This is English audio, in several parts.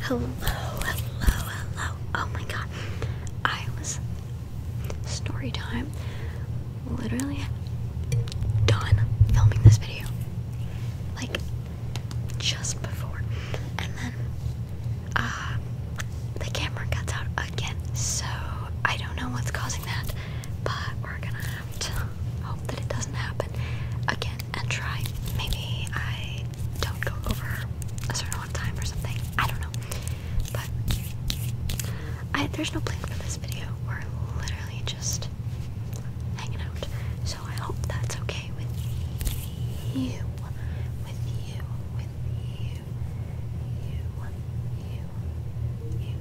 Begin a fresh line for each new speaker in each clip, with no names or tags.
Hello, hello, hello. Oh my god. I was story time literally done filming this video. Like just before. And then uh, the camera cuts out again. So I don't know what's causing that, but we're gonna have to hope that it doesn't happen again and try. Maybe I don't go over a certain amount of time or something. I don't know. But I, there's no plan for this video. We're literally just hanging out. So I hope that's okay with you. With you. With you. You. You. You.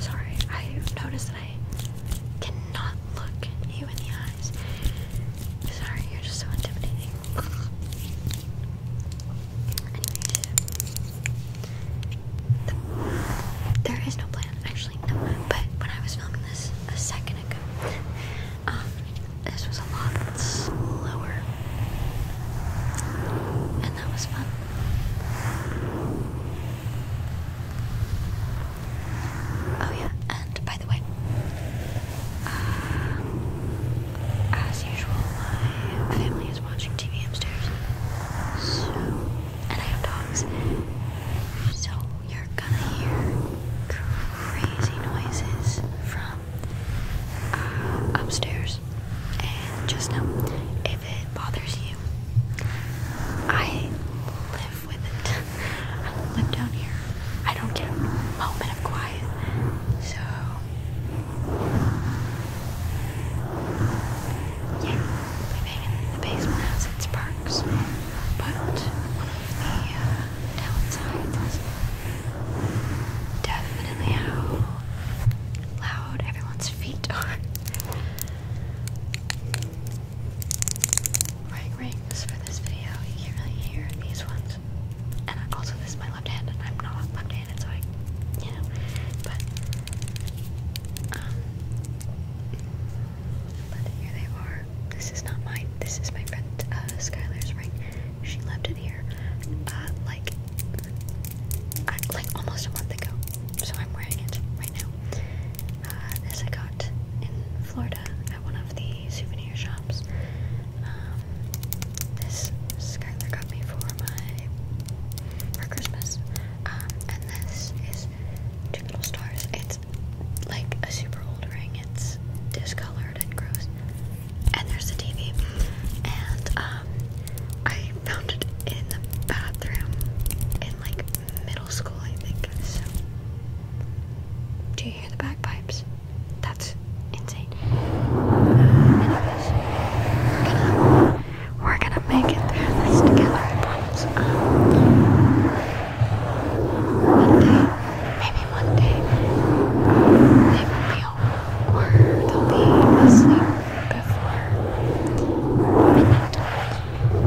Sorry, I've noticed that I cannot look you in the eyes. Sorry, you're just so intimidating there is no plan, actually, no. But when I was filming this a second ago, um, this was a lot slower, and that was fun. Oh yeah, and by the way, uh, as usual, my family is watching TV upstairs, so and I have dogs. So you're gonna hear crazy noises from uh, upstairs. And just know if it bothers you, I live with it. I live down here. I don't get a moment of quiet. So living in the basement has its perks, but one of the uh, downsides is definitely how loud everyone's feet are. Wearing rings for this video, you can't really hear these ones. And also, this is my left hand, and I'm not left handed, so I like, but, um, but here they are, this is not mine, this is my friend, uh, Skylar's ring, she left it here, uh, like, uh, like almost a month ago, so I'm wearing it right now, uh, this I got in Florida at one of the souvenir shops, um, this Skylar got me for my, for Christmas, um, and this is Two Stars. It's like a super old ring. It's discolored and gross. And there's a TV. And um, I found it in the bathroom in like middle school, I think. So, do you hear the bagpipes? That's insane. We're gonna make it through this together, I um, one day, maybe one day, they will be home, or they'll be asleep before midnight. Well,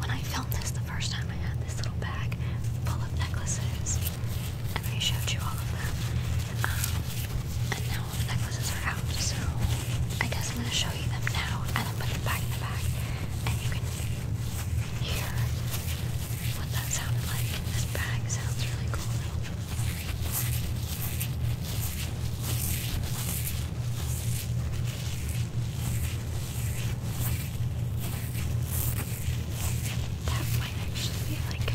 when I filmed this the first time, I had this little bag full of necklaces I showed you all of them. Um, and now the necklaces are out, so I guess I'm gonna show you them now and then put them back in the bag, and you can hear what that sounded like. This bag sounds really cool. That might actually be like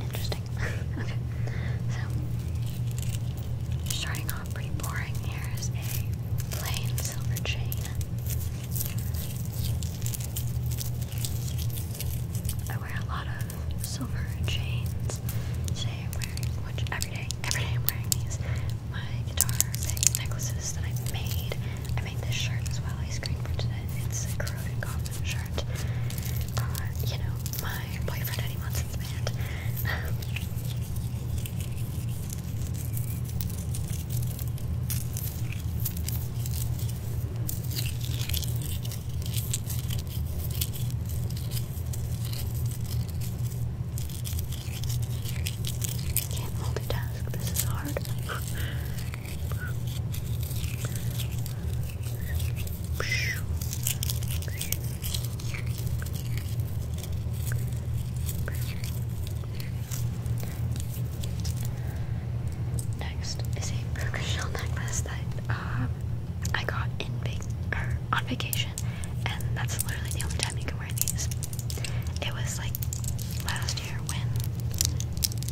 Interesting. okay. So starting off pretty boring, here's a plain silver chain. I wear a lot of silver chains. Today which every day, every day I'm wearing these my guitar necklaces that I made. I made this shirt as well. I screen printed it. It's a corroded coffin shirt. Uh, you know, my boyfriend Eddie Munson's band. Can't multitask, this is hard. Next is a burger shell necklace that um, I got in vac on vacation, and that's literally the only time you it was like last year when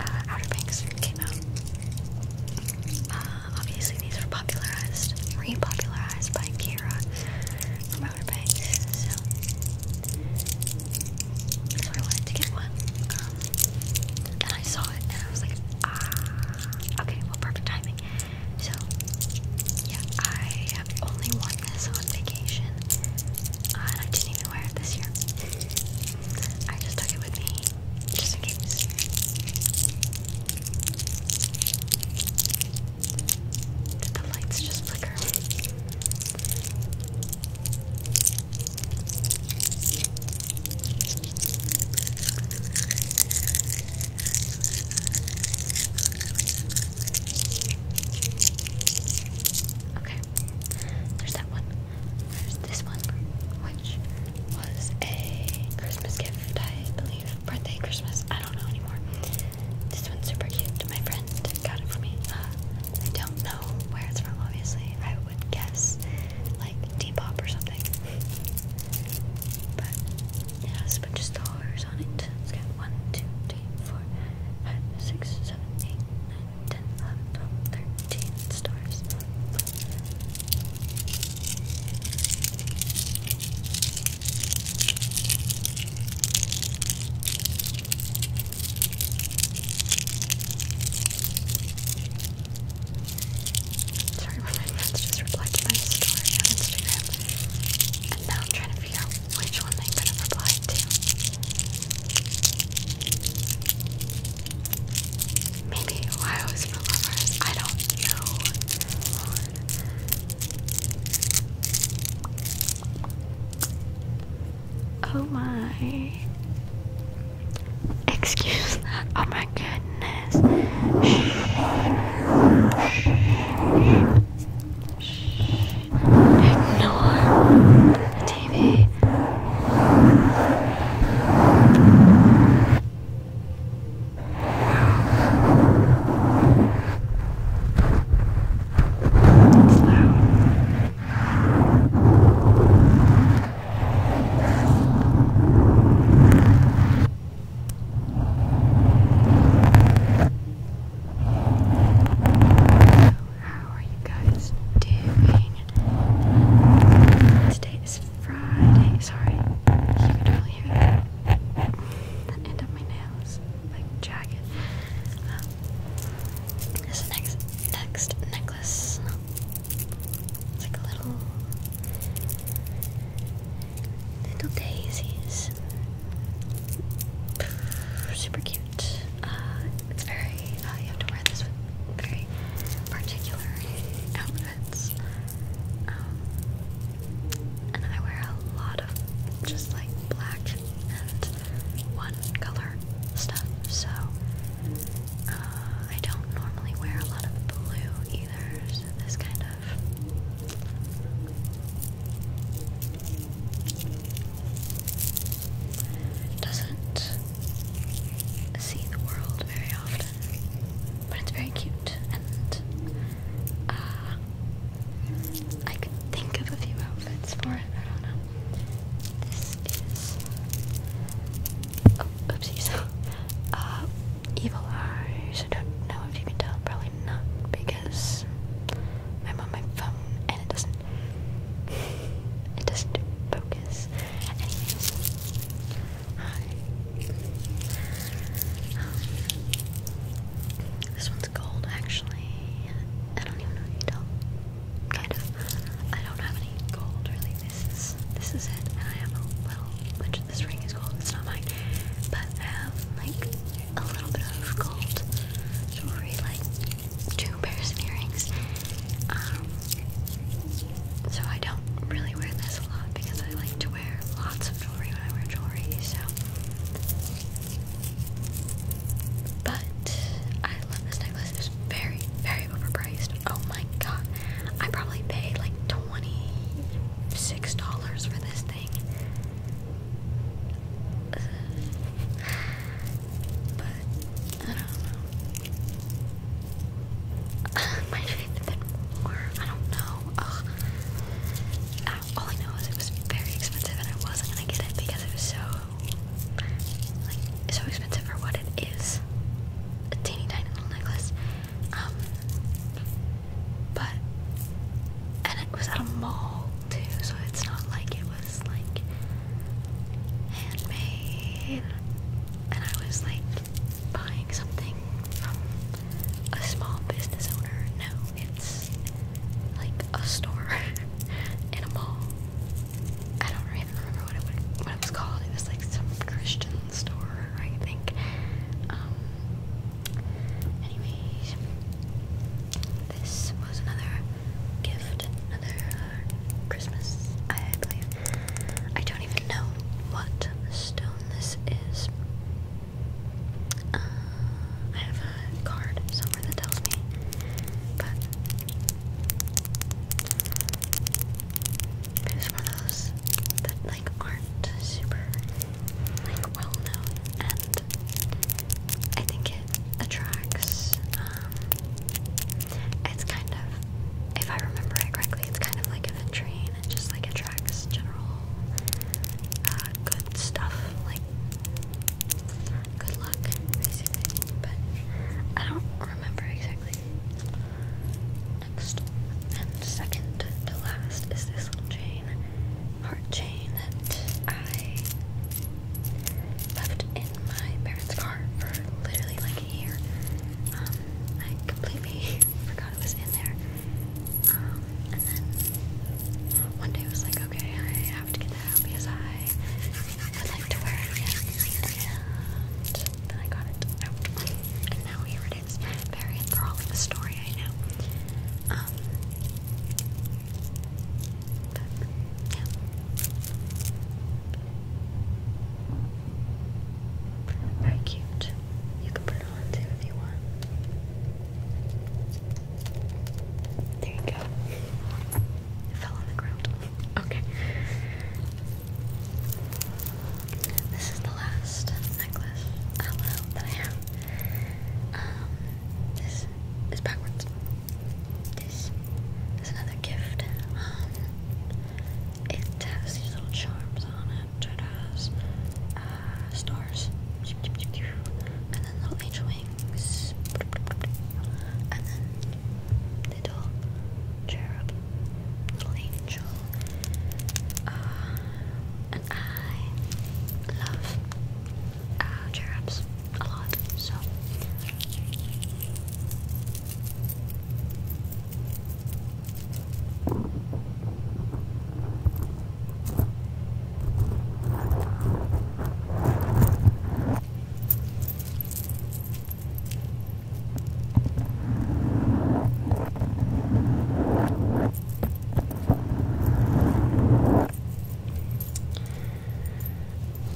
uh, Outer Banks came out. Uh, obviously, these were popularized, repopularized by Kira from Outer Banks, so I wanted to get one. Um, and I saw it, and I was like, ah, okay, well, perfect timing. So, yeah, I have only one on this on vacation. Uh, and I this year. I just took it with me just in case. the lights just flicker? Okay. There's that one. There's this one, which was a Christmas gift, I believe. Birthday, Christmas, I don't know anymore. This one's super cute. My friend got it for me. Uh, I don't know where it's from, obviously. I would guess like T-pop or something. But it has a bunch of stars on it. it three, four, five, six, seven, eight, nine, ten, eleven, twelve, thirteen stars. Sorry, my friends just replied to my story on Instagram now I'm trying to figure out which one they could have applied to. Maybe Ohio is for lovers. I don't know. Oh my. Excuse that. Oh my goodness ignore the TV. It's loud how are you guys doing? Today is Friday. Sorry, you can totally hear that. The end of my nails, like jagged. Um, this next necklace. It's like a little little daisies. Super cute. Uh, it's very, uh, you have to wear this with very particular outfits. Um, and I wear a lot of just like black and one color stuff, so uh, I don't normally wear a lot of blue either, this kind of doesn't see the world very often, but it's very cute, and uh, I could think of a few outfits for it. I don't know. This is oh, oopsies. uh, evil eyes. I don't know if you can tell. Probably not because I'm on my phone and it doesn't it doesn't focus. Hi. this one's gold actually. I don't even know if you tell. Kind of. I don't have any gold really. This is this is it. And I have a little bunch this ring is gold. It's not mine. But I um, have like a little bit of gold jewelry, like two pairs of earrings. Um, so I don't really wear this a lot because I like to wear lots of jewelry when I wear jewelry. So, but I love this necklace. It very, very overpriced. Oh my god! I probably paid like twenty six dollars for this thing something. but I don't know. Might have been more. I don't know. All I know is it was very expensive, and I wasn't gonna get it because it was so like so expensive for what it is. A teeny tiny little necklace. Um, but and it was at a mall, too, so it's not like it was like handmade and I was like buying something from a small business owner. No, it's like a store in a mall. I don't even remember what it, was called. It was like some Christian store, I think. Um, anyways, this was another gift, another uh, Christmas, I believe. I don't even know what stone this is. Uh, I have a card somewhere that tells me, but it's one of those that like aren't super like well known, and I think it attracts. Um, it's kind of, if I remember correctly, it's kind of like a ventrine. It just like attracts general uh, good stuff, like good luck, basically. But I don't remember exactly. Next and second to last is this little chain chain, heart chain that I left in my parents' car for literally like a year. Um, I completely forgot it was in there. Um, and then one day I was like, okay, I have to get that out because I would like to wear it again. And then I got it out. And now here it is. Very enthralling story, I know. Um, but, Very cute. You can put it on too if you want. There you go. fell on the ground. Okay. This is the last necklace uh, I have. Um, this is backwards. This is another gift. Um, it has these little charms on it. It has uh, stars, and then little angel wings, and then little cherub, little angel, uh, and I love uh, chair ups a lot, so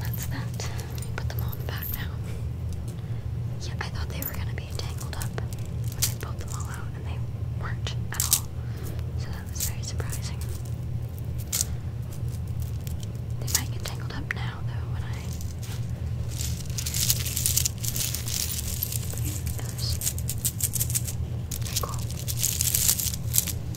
that's that. put them all in the back now. Yeah, I thought they were gonna be tangled up when I pulled them all out, and they weren't at all. So that was very surprising. They might get tangled up now, though, when I clean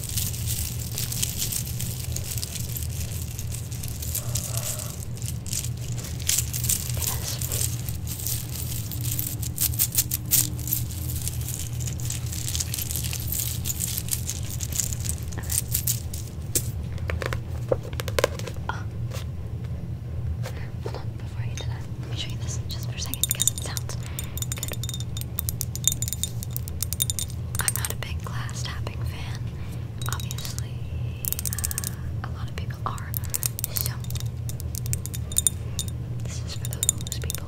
Oh. Hold on, before I get to that, let me show you this just for a second because it sounds Good. I'm not a big glass tapping fan. Obviously, uh, a lot of people are. So, this is for those people.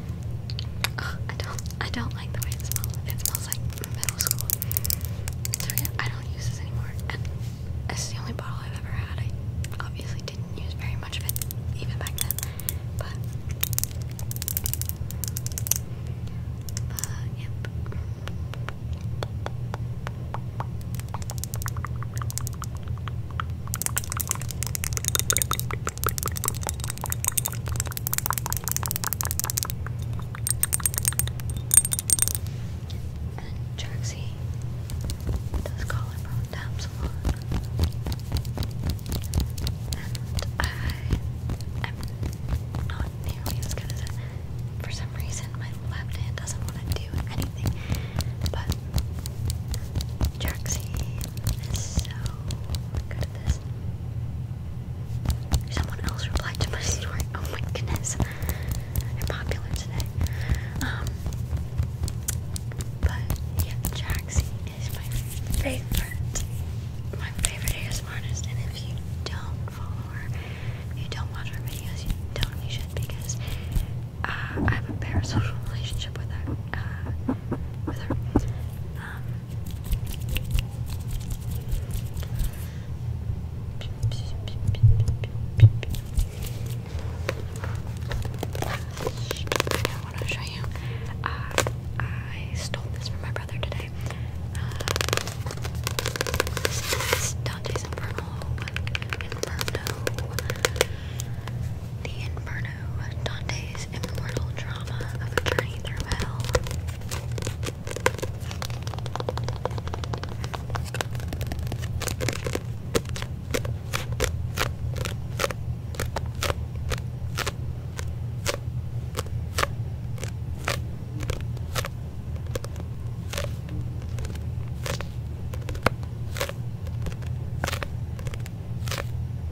I don't I don't like the way it smells. It smells like middle school. So yeah, I don't use this anymore. And it's the only bottle I've ever had. I obviously didn't use very much of it even back then. But uh, Jersey does call her from Dabs a lot. And I am not nearly as good as it. For some reason my left hand doesn't want to do anything. But Jaxie is so good at this. Someone else replied to my story. Oh my goodness. I'm popular today. Um but yeah, Jaxie is my favorite. My favorite ASMR artist and if you don't follow her, if you don't watch her videos, you don't you should because uh, I have a parasocial relationship with her uh, with her. Um, I want to show you. Uh, I stole this from my brother today. Uh, Dante's Inferno. Inferno. The Inferno. Dante's immortal drama of a journey through hell.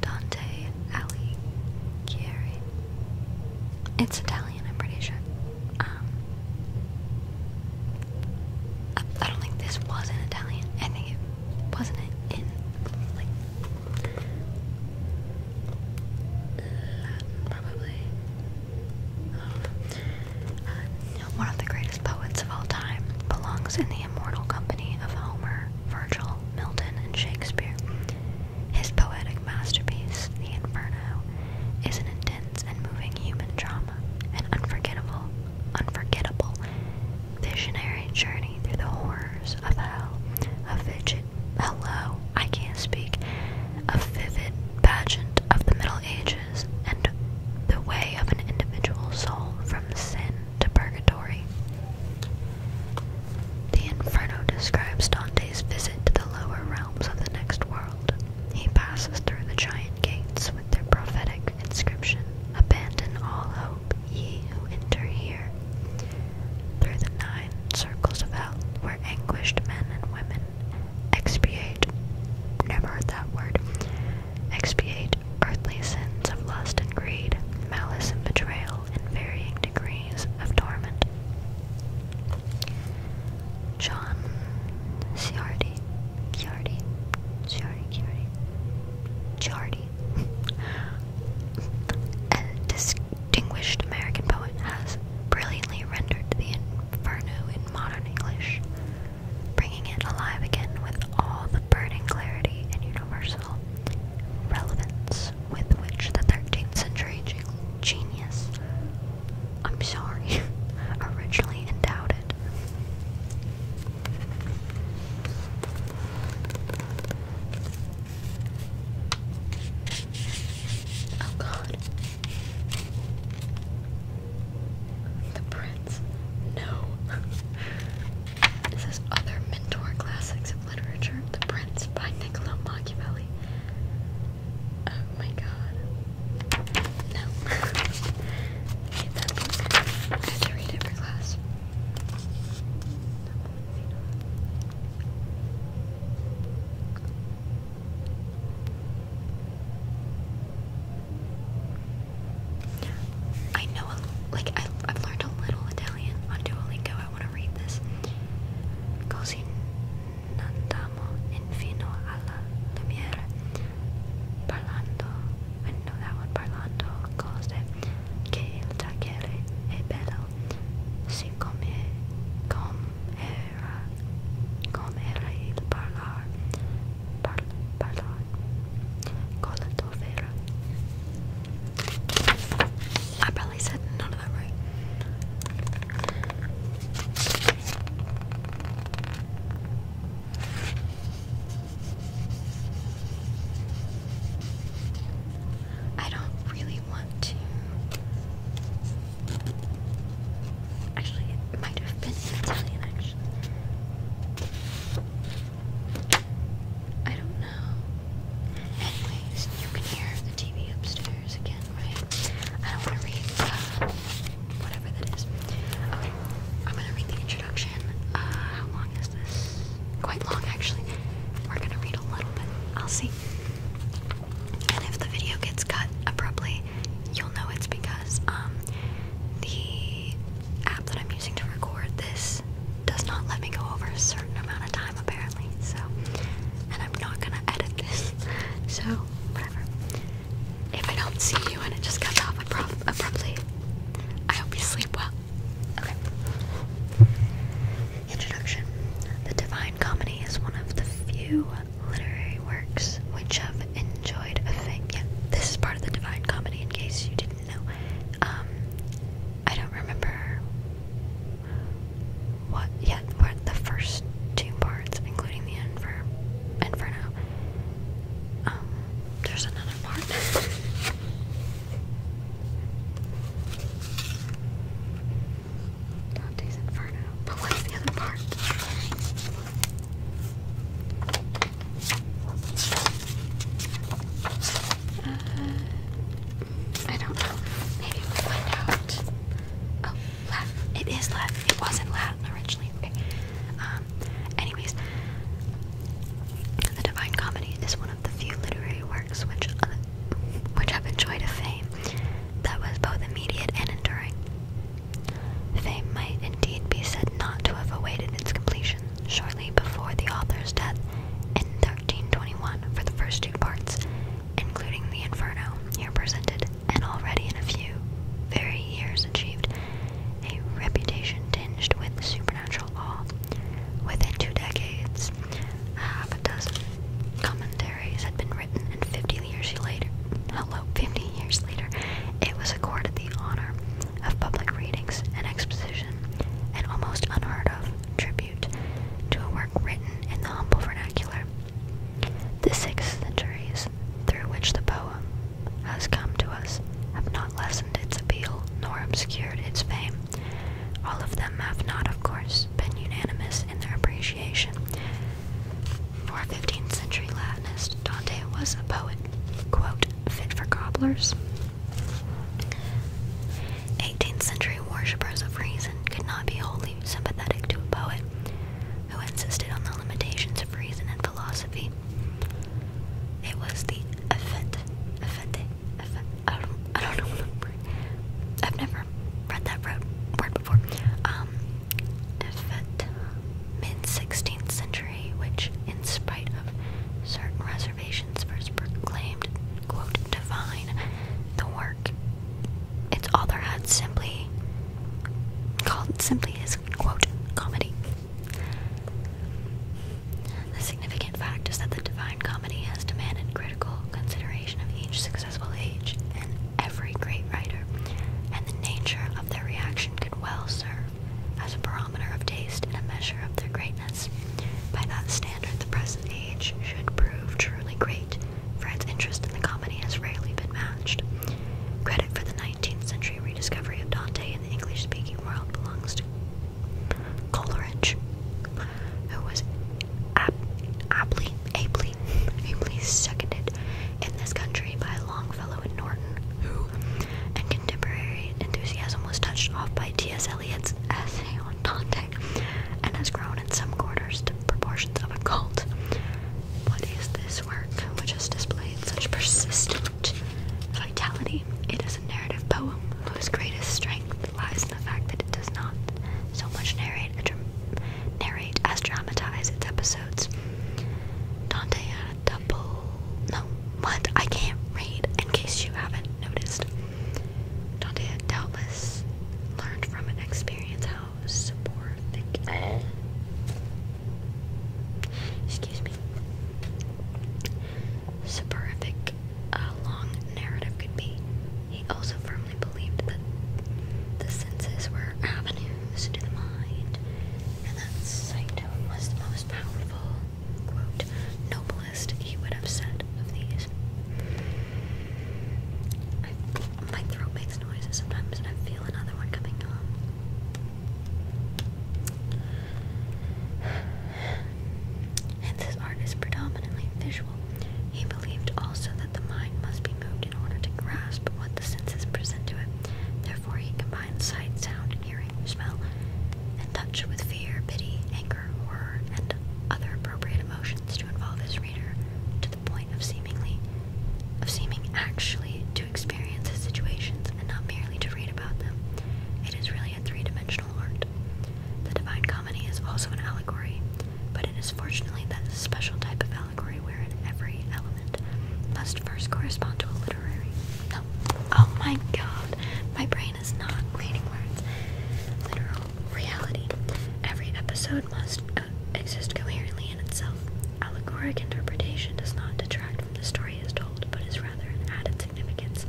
Dante Ali, Alighieri. It's Italian, I'm pretty sure. Um, I, don't think this was in Italian. I think it wasn't it in like probably. Uh, one of the greatest poets of all time belongs in the immortal company of Homer, Virgil, Milton, and Shakespeare. His poetic masterpiece, The Inferno, is an intense and moving human drama, an unforgettable, unforgettable visionary journey through the horrors of hell, a vivid, hello, I can't speak, a vivid pageant of the Middle Ages, and the way of an individual soul from sin to purgatory. The Inferno describes Dante's visit to the lower realms of the next world. He passes through the giant gates with their prophetic inscription Abandon all hope, ye who enter here. Through the nine circles of hell, where anguished men and women expiate. Never heard that word. Expiate earthly sins of lust and greed, malice and betrayal, in varying degrees of torment. John Ciardi, Ciardi, Ciardi, Ciardi, Ciardi, a distinguished American poet, has brilliantly rendered the Inferno in modern English, bringing it alive again with all the burning clarity and universal relevance with which the 13th century genius, I'm sorry, originally endowed it. Oh god. The prince. No. This is Other Mentor Classics of Literature, The Prince by Niccolo Machiavelli. Oh my god. No. I have to read it for class. I know, a, like, I, have learned a little Italian on Duolingo. I want to read this. Così andiamo infino alla lumiere. Parlando, I know that one. Parlando cose che il tagliere è bello. Siccome com era, com era il parlar, par, parlar, con la I probably said none of that right. I don't really want to. Actually, it might have been Italian, actually. I don't know. Anyways, you can hear the TV upstairs again, right? I don't want to read uh, whatever that is. Okay, I'm gonna read the introduction. Uh, how long is this? Quite long, actually. We're gonna read a little bit. I'll see. And if the video gets cut abruptly, you'll know it's because um the app that I'm using to record this does not let me go over a certain amount of time apparently. So, and I'm not gonna edit this. So, whatever. If I don't see you and it just cuts off abruptly, I hope you sleep well. Okay. Introduction. The Divine Comedy is one of the few literary works which have enjoyed a fame. this is part of the Divine Comedy in case you didn't no. Um I don't remember what yet what the first two parts, including the inferno. Um there's another part. Dante's Inferno. But what's the other part? Uh, I don't know. Maybe we'll find out. Oh, Lat. It is Lat. It wasn't Lat originally. Okay. Um, anyways, The Divine Comedy is one of the few literary works which, uh, which have enjoyed a fame that was both immediate and enduring. Fame might indeed be said not to have awaited its completion, shortly before the author's death in 1321 for the first two parts, including the Inferno here presented, and already in a few very years achieved a reputation tinged with supernatural awe. Within two decades, half a dozen commentaries had been written, and 50 years later, hello, 50 years later, it was accorded the honor of public readings and exposition, and almost unheard of tribute to a work written in the humble vernacular. The six centuries through which the poem has come to us have not lessened its appeal nor obscured its fame. All of them have not, of course, been unanimous in their appreciation. For a 15th century Latinist, Dante was a poet, quote, fit for cobblers, 18th century worshippers of reason could not be wholly sympathetic to a poet who insisted on the limitations of reason and philosophy. It was the effete, effete, effete, I don't, I don't know the word. I've never read that word before. Um, effete, mid 16th century, which, in spite of certain reservations first proclaimed, divine, the work its author had simply called simply his, quote, comedy. The significant fact is that the divine comedy has demanded critical consideration of each successful age and every great writer, and the nature of their reaction could well serve as a barometer of taste and a measure of their greatness. By that standard, the present age should prove truly great, for its interest in the comedy has rarely been matched. Credit for the 19th century rediscovery of Dante in the English speaking world belongs to Coleridge, who was ab ably, ably, ably seconded in this country by Longfellow and Norton, who, and contemporary enthusiasm was touched off by T.S. Eliot's essay on Dante and has grown in some quarters to proportions of a cult. What is this work which has displayed such persistent vitality? It is a narrative poem whose greatest strength lies in the fact that it does not so much narrate, as dramatize its episodes. Dante double no what I can't read in case you haven't noticed. Dante doubtless learned from experience how soporific excuse me soporific a long narrative could be. He also firmly believed that the senses were avenues to the mind, and that sight was the most powerful noblest he would have said of these. my throat makes noises sometimes, and I feel another one coming on. Hence, his art is predominantly visual. He believed also that the mind must be moved in order to grasp what the senses present to it. Therefore, he combined sight, sound, hearing, smell, and touch with fear, pity, anger, horror, and other appropriate emotions to involve his reader to the point of seemingly of seeming actually to experience his situations and not merely to read about them. It is really a three-dimensional art. The Divine Comedy is also an allegory, but it is fortunately that special type of allegory wherein every element must first correspond to a literary. Oh my god. My brain brain is not reading words. Literal reality. Every episode must uh, exist coherently in itself. Allegoric interpretation does not detract from the story as told, but is rather an added significance,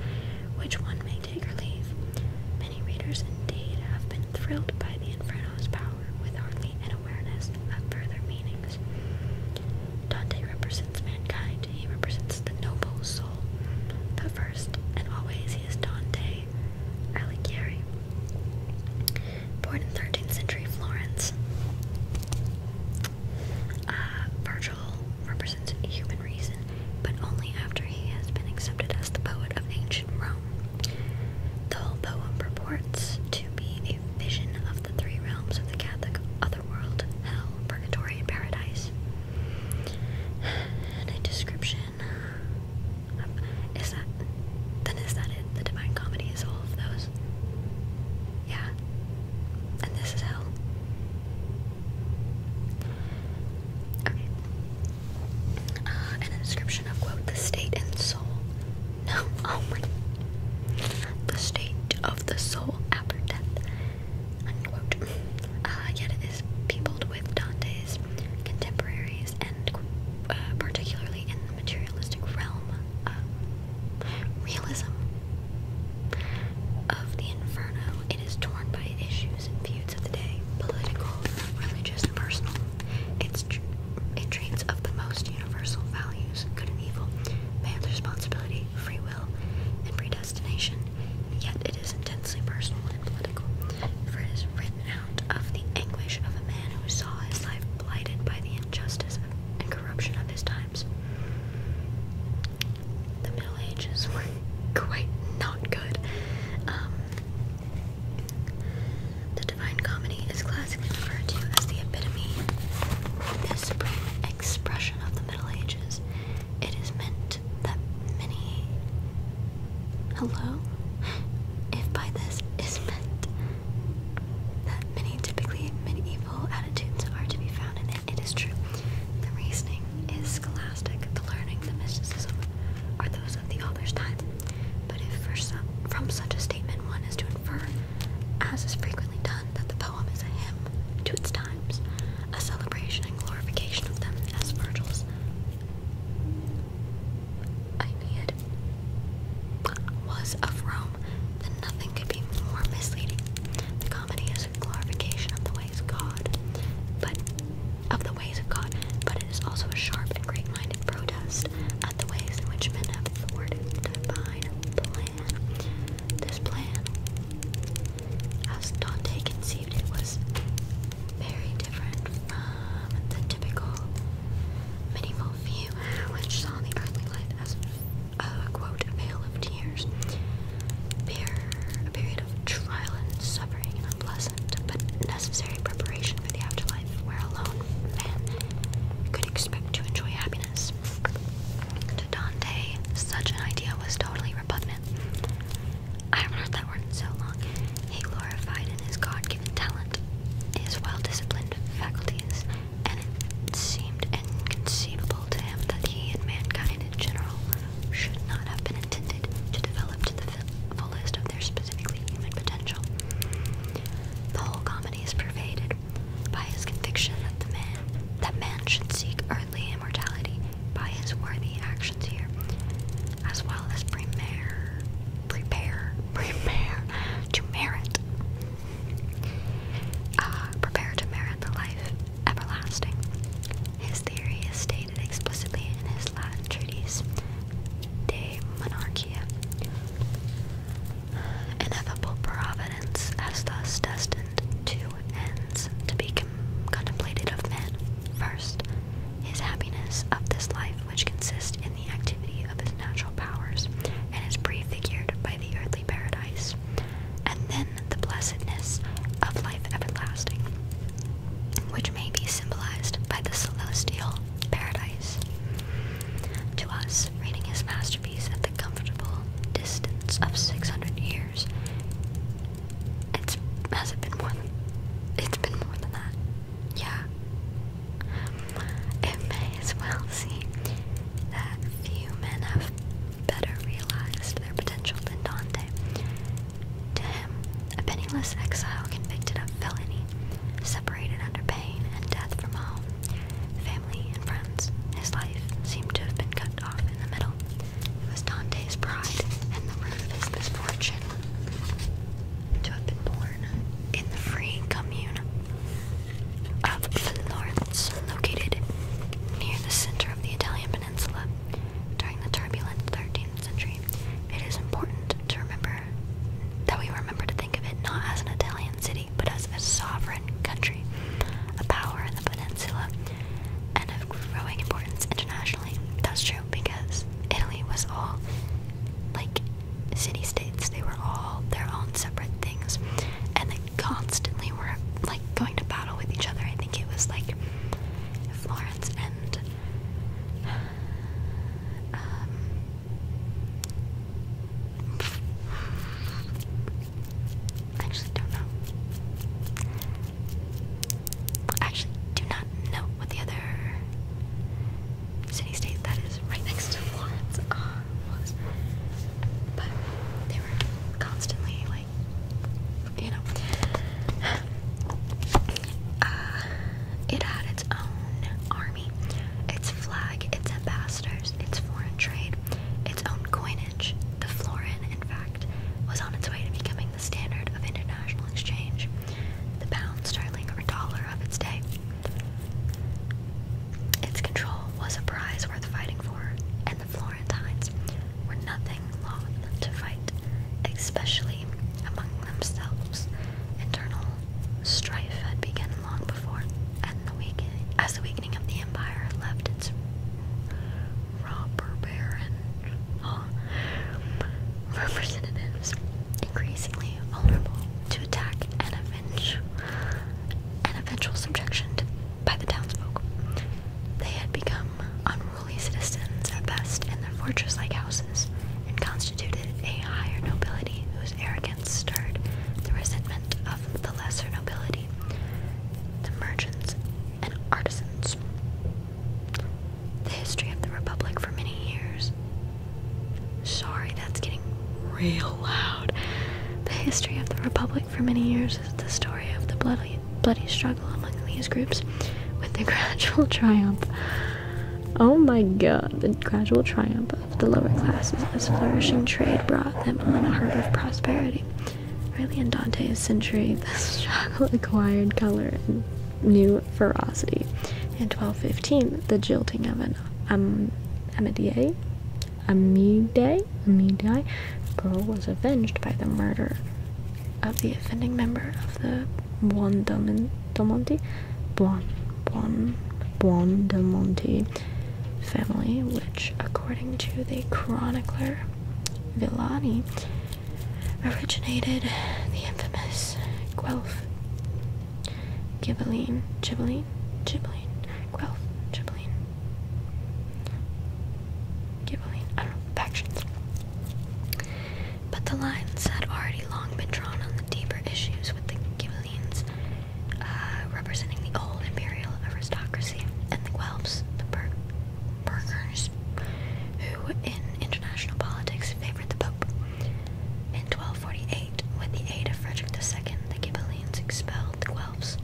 which one may take or leave. Many readers, indeed, have been thrilled by the Inferno's power, with hardly an awareness of further meanings. Dante represents mankind, he represents the noble soul. But first and always, he is Dante Alighieri. Born in 13th century Florence, uh, Virgil represents human reason, but only after he has been accepted as the poet of ancient Rome. The whole poem purports to be a vision of the three realms of the Catholic otherworld, hell, purgatory, and paradise. And a description. is that. Then is that it? The Divine Comedy is all of those? Yeah. And this is hell. Okay. Uh, and a description of, quote, the state and soul. No, oh my. The state of the soul after death uh, yet it is peopled with Dante's contemporaries uh, particularly in the materialistic realm realism of the Inferno, it is torn by issues and feuds of the day, political, religious, and personal. it treats of the most universal values, good and evil, man's responsibility, free will, and predestination. Yet it is intensely personal and political, for it is written out of the anguish of a man who saw his life blighted by the injustice and corruption of his times. The Middle Ages were quite not good. Um, the Divine Comedy is classically referred to as the epitome, the supreme expression of the Middle Ages, it is meant that many. Hello? If by this is meant that many typically medieval attitudes are to be found in it, it is true. The reasoning is scholastic, the learning, the mysticism are those of the author's time. But if some, from such a statement one is to infer, as is frequently done, that the poem is a hymn to its a celebration and glorification of them as Virgil's Aeneid was of Rome, then nothing could be more misleading. The comedy is a glorification of the ways of God, but of the ways of God, but it is also a sharp and great-minded protest at the ways in which men have thwarted divine plan. This plan, as Dante conceived it, was very different from the typical medieval view, which saw the earthly life as uh, a quote, veil of tears, a period of trial and suffering and unpleasant but necessary preparation for the afterlife, where alone man could expect to enjoy happiness. To Dante, such an idea was totally repugnant. I haven't heard that word so long. He glorified in his God given talent, his well disciplined faculties, and it seemed inconceivable to him that he and mankind in general should not have been intended to develop to the fullest of their specifically human potential. The whole comedy is pervaded by his conviction that man should seek immortality by his worthy actions here, as well as prepare, prepare, prepare to merit, uh, prepare to merit the life everlasting. His theory is stated explicitly in his Latin treatise De Monarchia. Ineffable providence has thus destined two ends to be contemplated of men. First, his happiness of this life, which consists in the activity of his natural powers, and is prefigured by the earthly paradise, and then the blessedness of life everlasting, which may be symbolized by the celestial paradise. To us, reading his masterpiece at the comfortable distance of 600 years, it's has it been more than it's been more than that. Yeah. It may as well seem that few men have better realized their potential than Dante. To him, a penniless exile convicted of felony, separated under pain and death from home, family and friends, his life seemed to have been cut off in the middle. It was Dante's pride and the root of his misfortune to have been born in the free commune of Florence, located near the center of the Italian peninsula during the turbulent 13th century. It is important to remember that we remember to think of it not as an Italian city, but as a sovereign country, a power in the peninsula and of growing importance internationally. That's true because Italy was all like city states, they were all their own separate things, and they constantly were like going to battle with each other. I think it was like Florence and um, I actually don't know. actually do not know what the other city state that is right next to Florence uh, was. But they were constantly like, you know. Uh, it had its own army, its flag, its ambassadors, its foreign trade, its own coinage, the florin, in fact was on its way to becoming the standard of international exchange, the pound sterling or dollar of its day. Its control was a prize worth fighting for, and the Florentines were nothing loth to fight, especially among themselves. Internal strife had begun long before, and the weak as the weakening of the empire left its robber baron representatives increasingly vulnerable to attack and avenge and eventual subjection to, by the townsfolk. They had become unruly citizens at best in their fortress-like houses and constituted a higher nobility whose arrogance stirred the resentment of the lesser nobility the merchants, and artisans. The history of the Republic for many years. Sorry, that's getting real loud. The history of the Republic for many years is the story of the bloody, bloody struggle among these groups with the gradual triumph. Oh my god, the gradual triumph of the lower classes as flourishing trade brought them on a heart of prosperity. Riley in Dante's century, the struggle acquired color and new ferocity. In 1215, the jilting of an a um, Amidei, Amidei, Amidei girl was avenged by the murder of the offending member of the Buondelmonte Buon, Buon, Buon family, which, according to the chronicler, Villani originated the infamous Guelph Ghibelline, Ghibelline, Ghibelline, Guelph, Ghibelline, Ghibelline, I don't know, factions. But the lines had already long been drawn on the deeper issues with the Ghibellines, uh, representing the old imperial aristocracy, and the Guelphs, the, per burgers, who in international politics favored the Pope. In 1248, with the aid of Frederick II, the Ghibellines expelled the Guelphs.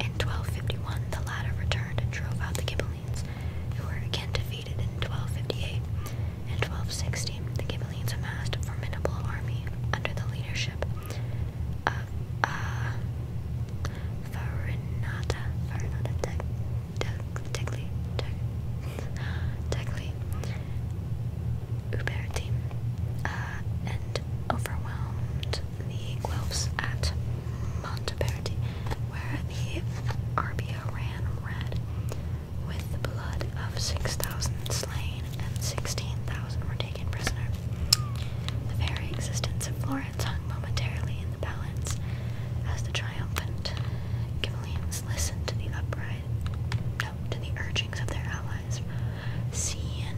In 1251, the latter returned and drove out the Ghibellines, who were again defeated in 1258. In 1260, the Ghibellines amassed a formidable army under the leadership uh, uh, Farinata, Farinata, Teg, Teg, Tegli, Uberti, and overwhelmed the Guelphs at Monteverdi, where the Arbia ran red with the blood of 6,000 slain and 16,000 were taken prisoner. The very existence of Florence hung momentarily in the balance as the triumphant Ghibellines listened to the upright, urgings of their allies. Siena,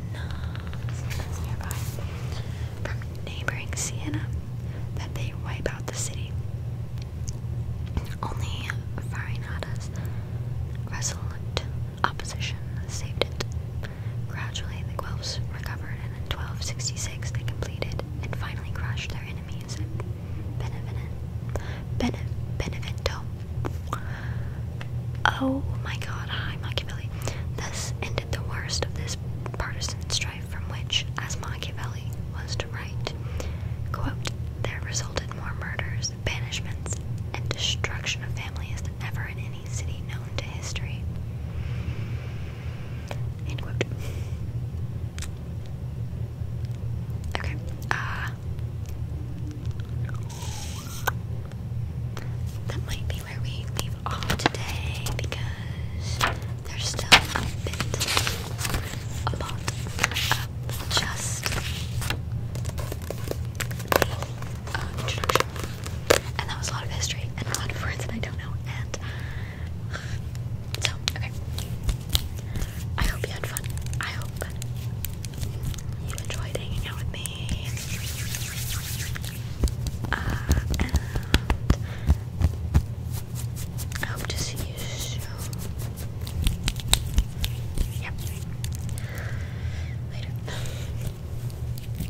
nearby, from neighboring Siena, that they wipe out the city. Only Farinata's resolute opposition saved it Gradually, the Guelphs recovered, and in 1266 they completed and finally crushed their enemies at Benevento. Oh my god, hi Machiavelli. Thus ended the worst of this partisan strife from which, as Machiavelli was to write, quote, there resulted more murders, banishments, and destruction of families than ever in any city known to history. Okay. Uh, that might be where we leave off today because there's still a bit, a lot of just introduction, and that was a lot of history and a lot of words that I don't know. And so, okay. I hope you had fun. I hope you enjoyed hanging out with me. Uh, I hope to see you soon. Yep. Later.